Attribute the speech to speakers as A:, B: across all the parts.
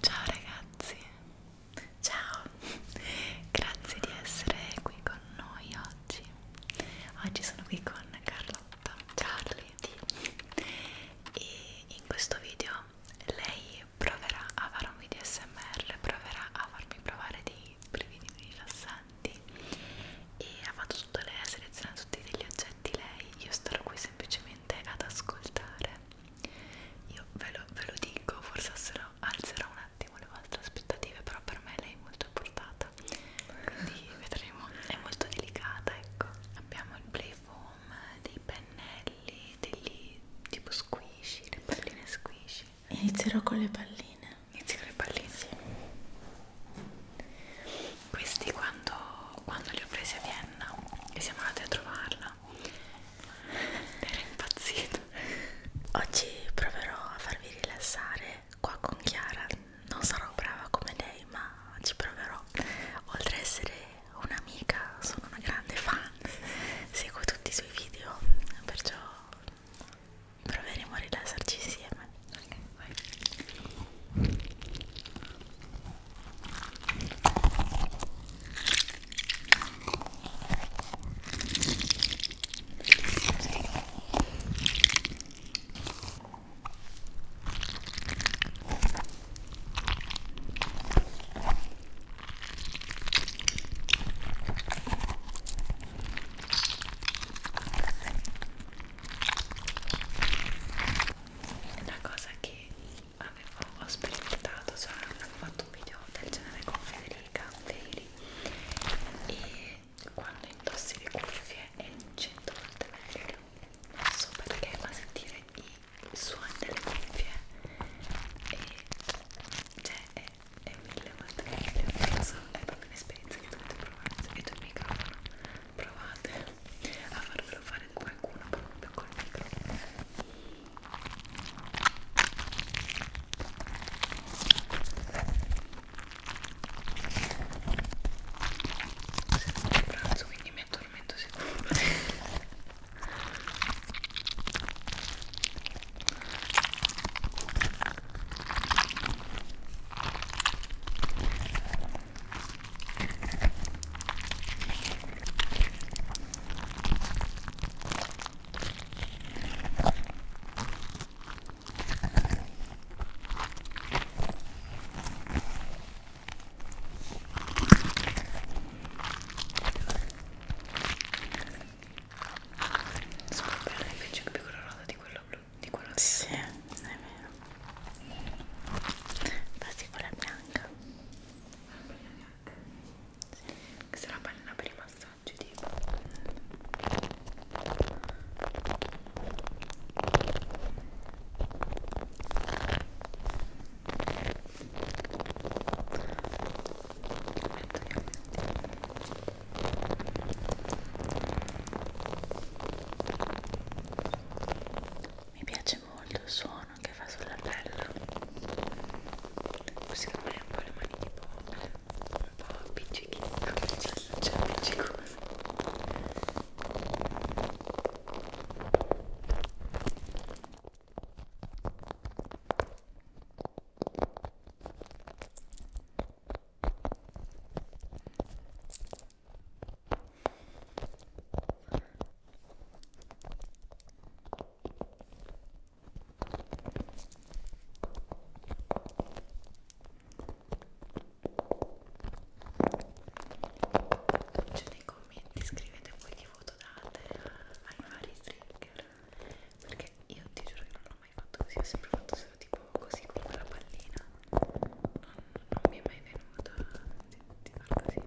A: Ciao ragazzi, ciao, grazie di essere qui con noi oggi. Oggi sono qui con Carlotta, Charlie e in questo video lei proverà a fare un video SMR, proverà a farmi provare dei brividi rilassanti importanti e ha fatto tutto lei, ha selezionato tutti degli oggetti lei, io starò qui semplicemente ad ascoltare io ve lo, ve lo dico, forse alzerò un attimo le vostre aspettative però per me lei è molto portata quindi vedremo, è molto delicata
B: ecco abbiamo il playfoam, dei pennelli, degli tipo squishy, le palline squishy inizierò con le palline palline inizio con le palline sì. questi quando, quando li ho presi a Vienna e siamo andati a trovarla era impazzito oggi proverò a farvi rilassare qua con Chiara non sarò brava come lei ma ci proverò oltre a essere un'amica sono una grande fan seguo tutti i suoi video perciò proveremo a rilassarci insieme ok vai
A: una cosa che avevo ho sperimentato cioè avevo fatto un video del genere con Federica Feri e quando indossi le cuffie è 100 volte meglio non so perché ma sentire i suoni delle cuffie e cioè è, è mille volte meglio non so è proprio fate un'esperienza che dovete provare se avete il microfono provate a farvelo fare da qualcuno proprio col microfono sento il pranzo quindi mi addormento sicuro
B: Scoprire invece che più colorata di quella blu di quello che sì, è vero infatti quella è bianca la pallina bianca sì. questa è la pallina per i massaggi tipo Aspetta, mi piace molto il suono che fa sulla pelle. Secondo me è un po' le mani tipo un po' appiccichino, cioè appiccicoso. Ciao nei commenti scrivete voi che voto date ai vari trigger perché io ti giuro che non ho ho mai fatto così, ho sempre fatto solo tipo così con quella pallina. Non, non mi è mai venuto di, di far così.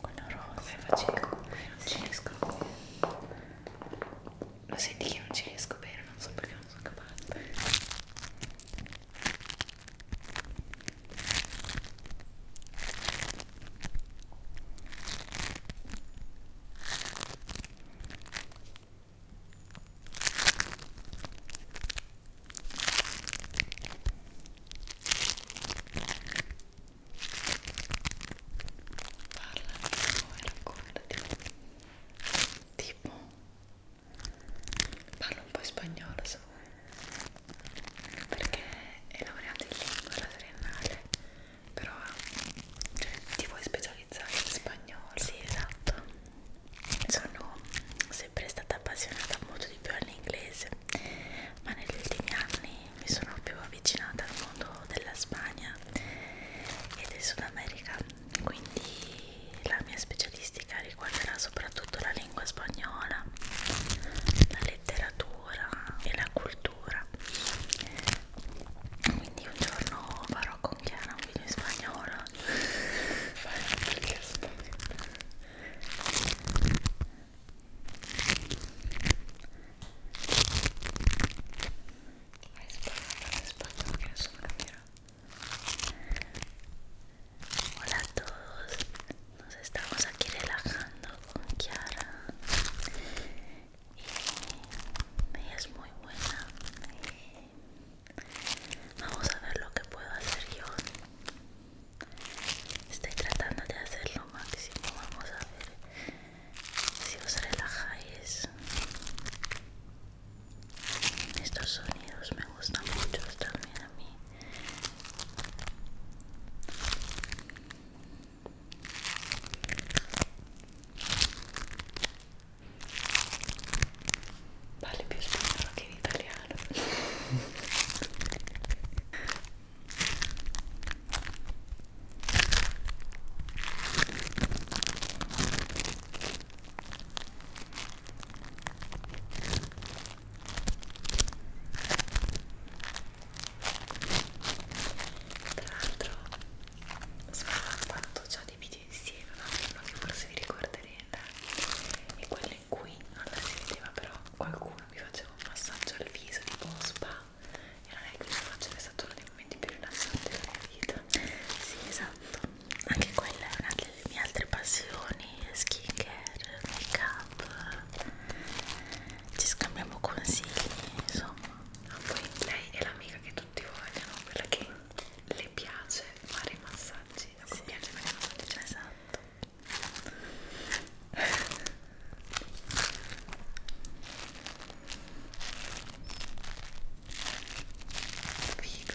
A: con la rosa faccio non ci riesco lo senti che non ci riesco bene non so perché non sono capace tipo parlo un po' spagnolo so perché è laureata in lingua la triennale però
B: cioè, ti vuoi specializzare in spagnolo? Sì, esatto. Sono sempre stata appassionata molto di più all'inglese, ma negli ultimi anni mi sono più avvicinata al mondo della Spagna e del Sud America, quindi la mia specialistica riguarderà soprattutto la lingua spagnola, la letteratura e la cultura quindi un con un video Hola a todos, nos estamos aquí relajando Kiara y es muy buena vamos a ver lo que puedo hacer yo estoy tratando de hacer lo máximo vamos a ver si os relajáis estos sonidos me gustan mucho también a mí Parli più spagnolo che in italiano. Tra l'altro, so quanto già dei video insieme, ma no? che forse vi ricorderete, e quello in cui non la si vedeva, però qualcuno mi faceva un massaggio al viso tipo spa, e non è che questo faccio è stato uno dei momenti più rilassanti della mia vita. Sì, esatto, anche quella è una delle mie altre passioni, skincare, make up ci scambiamo consigli insomma ah, poi
A: lei è l'amica che tutti vogliono quella che le piace fare i massaggi a cui sì. piace fare i massaggi esatto Figo.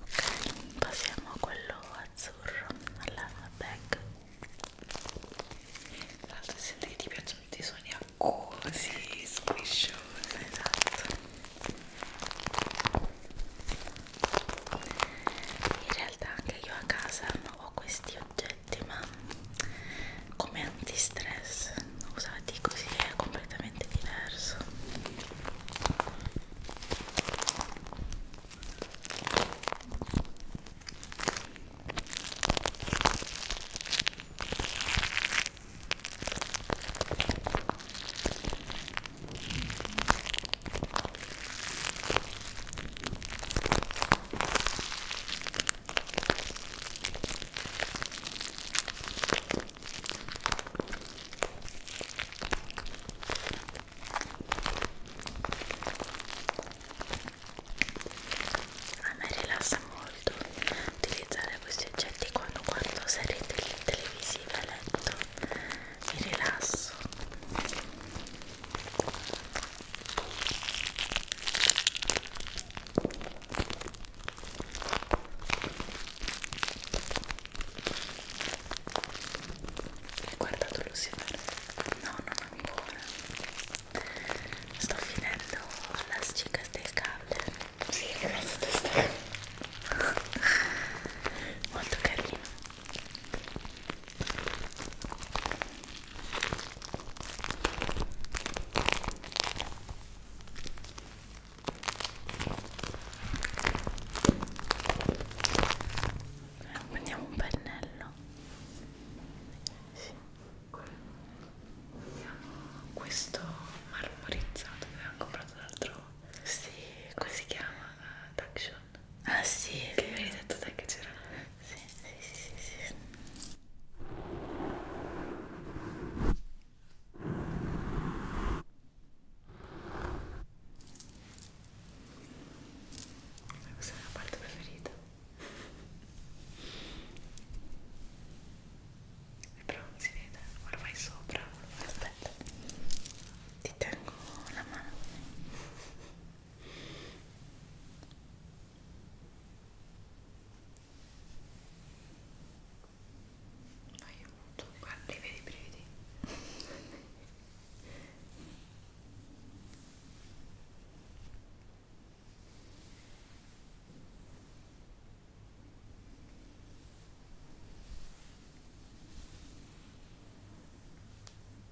A: Ok, passiamo a quello azzurro alla bag. Tra l'altro esatto, senti che ti piacciono tutti i suoni acquosi, squisciosi, esatto.
B: In realtà anche io a casa non ho questi oggetti ma come antistress usati così è completamente diverso a me rilassa molto utilizzare questi oggetti quando guardo serie televisive a letto mi rilasso
A: hai guardato Lucifer? no, non ancora
B: sto finendo la cicatrice del cable sì, molto carino
A: prendiamo un pennello sì. questo marmorizzato che abbiamo comprato l'altro sì, come si chiama? Uh, eh, Taction
B: Ah sì, che mi hai detto te che c'era. Sì, sì, sì, sì, sì. Questa è la parte preferita. Però non si vede, ora vai sopra. Aspetta, ti tengo la mano. Aiuto, guarda, li vedi i brividi.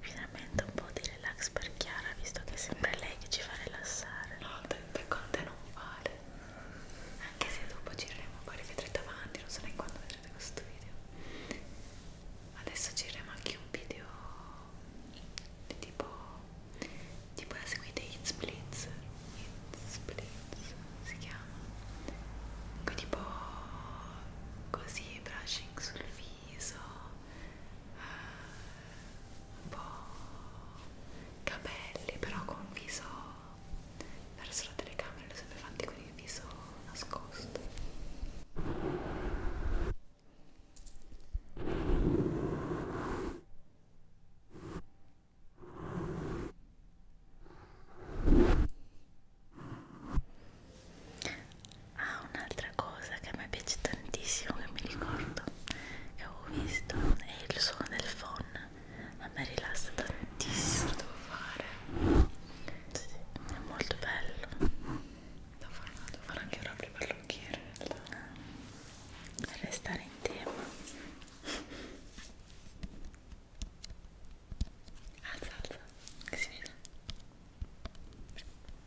B: Finalmente un po' di relax per Chiara, visto che è sempre lei che ci fa rilassare. No, per conte non vale. Anche se dopo gireremo, poi rivedrete
A: avanti, non so neanche quando vedrete questo video. Adesso gireremo anche un video di tipo... tipo la seguite hit splits Splitz si chiama quindi tipo così brushing sul viso uh, un po' capelli però con viso verso la telecamera li ho sempre fatti con il viso nascosto
B: Ah, un'altra cosa che a me piace tantissimo, che mi ricordo che avevo visto, è il suono del phon. A me rilassa tantissimo, devo fare. Sì, sì, è molto bello. Devo fare, devo fare anche un proprio parrucchiere in realtà. Per restare in tema. Alza, alza, che si vede. Prendo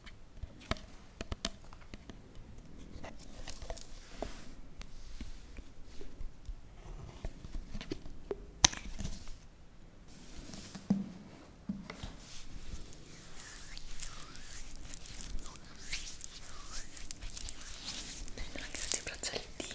B: anche tutti i braccialetti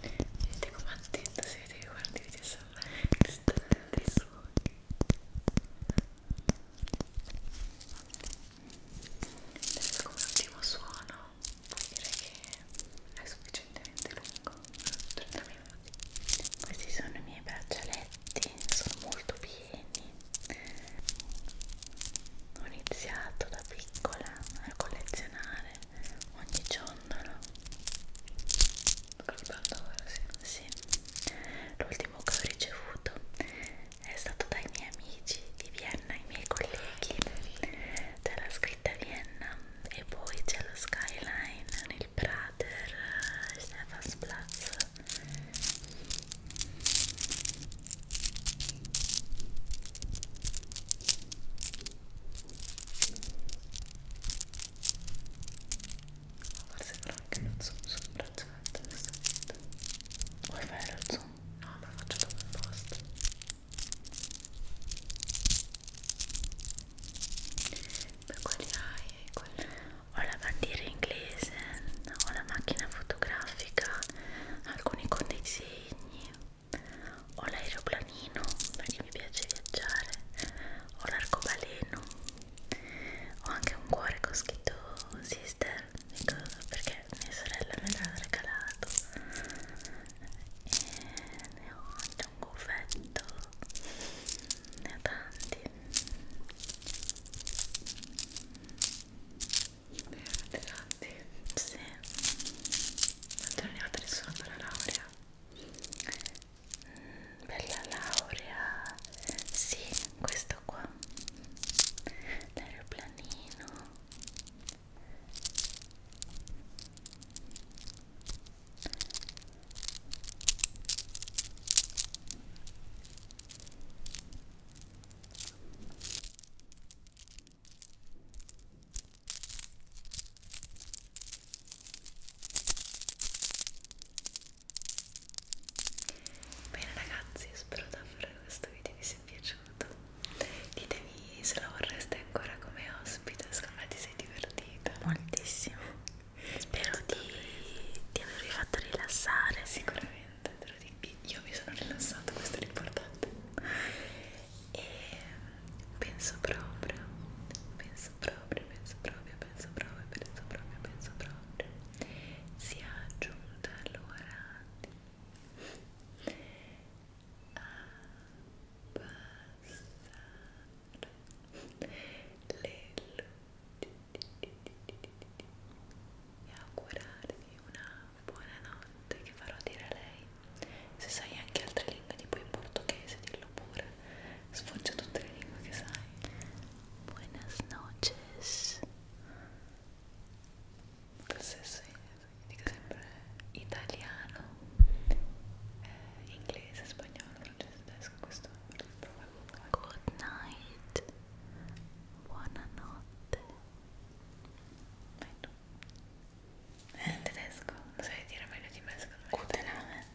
B: Vedete com'è attento, se vedete che guardi video sembra distante dai suoni Adesso come ultimo suono vuol dire che è sufficientemente lungo 30 minuti Questi sono i miei braccialetti, sono molto pieni Ho iniziato da piccola a collezionare ogni ciondolo Colpandora, sì, sì. L'ultimo che ho ricevuto è stato dai miei amici di Vienna, i miei colleghi. C'è la scritta Vienna e poi c'è lo skyline nel Prater, eh, Stefansplatz forse però anche lo zoom sul braccialetto adesso vuoi fare lo zoom? no me lo faccio dopo il post per quali hai? Quali... ho la bandiera inglese ho la macchina fotografica alcuni con disegni ho l'aeroplanino perché mi piace viaggiare, ho l'arcobaleno, ho anche un cuore con scritto sister ecco, perché mia sorella me l'ha regalato e ne ho anche un goffetto, ne ho tanti ne avete tanti? Sì. Quanto ne avete nessuno per la laurea? mm, per la laurea sì questo qua
A: l'aeroplanino Bene ragazzi, spero davvero che questo video vi sia piaciuto. Ditemi se la vorreste ancora come ospite, secondo me ti sei
B: divertita.
A: Moltissimo. Spero di, di avervi fatto rilassare. Sicuramente, te lo dico. Io mi sono rilassata, questo è l'importante e penso proprio, penso proprio, penso proprio, penso proprio, penso proprio, penso proprio sia giunta l'ora di abbassare le luci e augurarvi una buona notte che farò dire a lei se sai anche altre lingue, tipo in portoghese, dillo pure. Sfoggia tutte le
B: lingue che sai. Buenas noches. Questo è dico sempre italiano, eh, inglese, spagnolo, francese, tedesco, questo è il Good night. Buonanotte. Vai tu. Eh, tedesco, non sai dire meglio di me secondo me. Good night.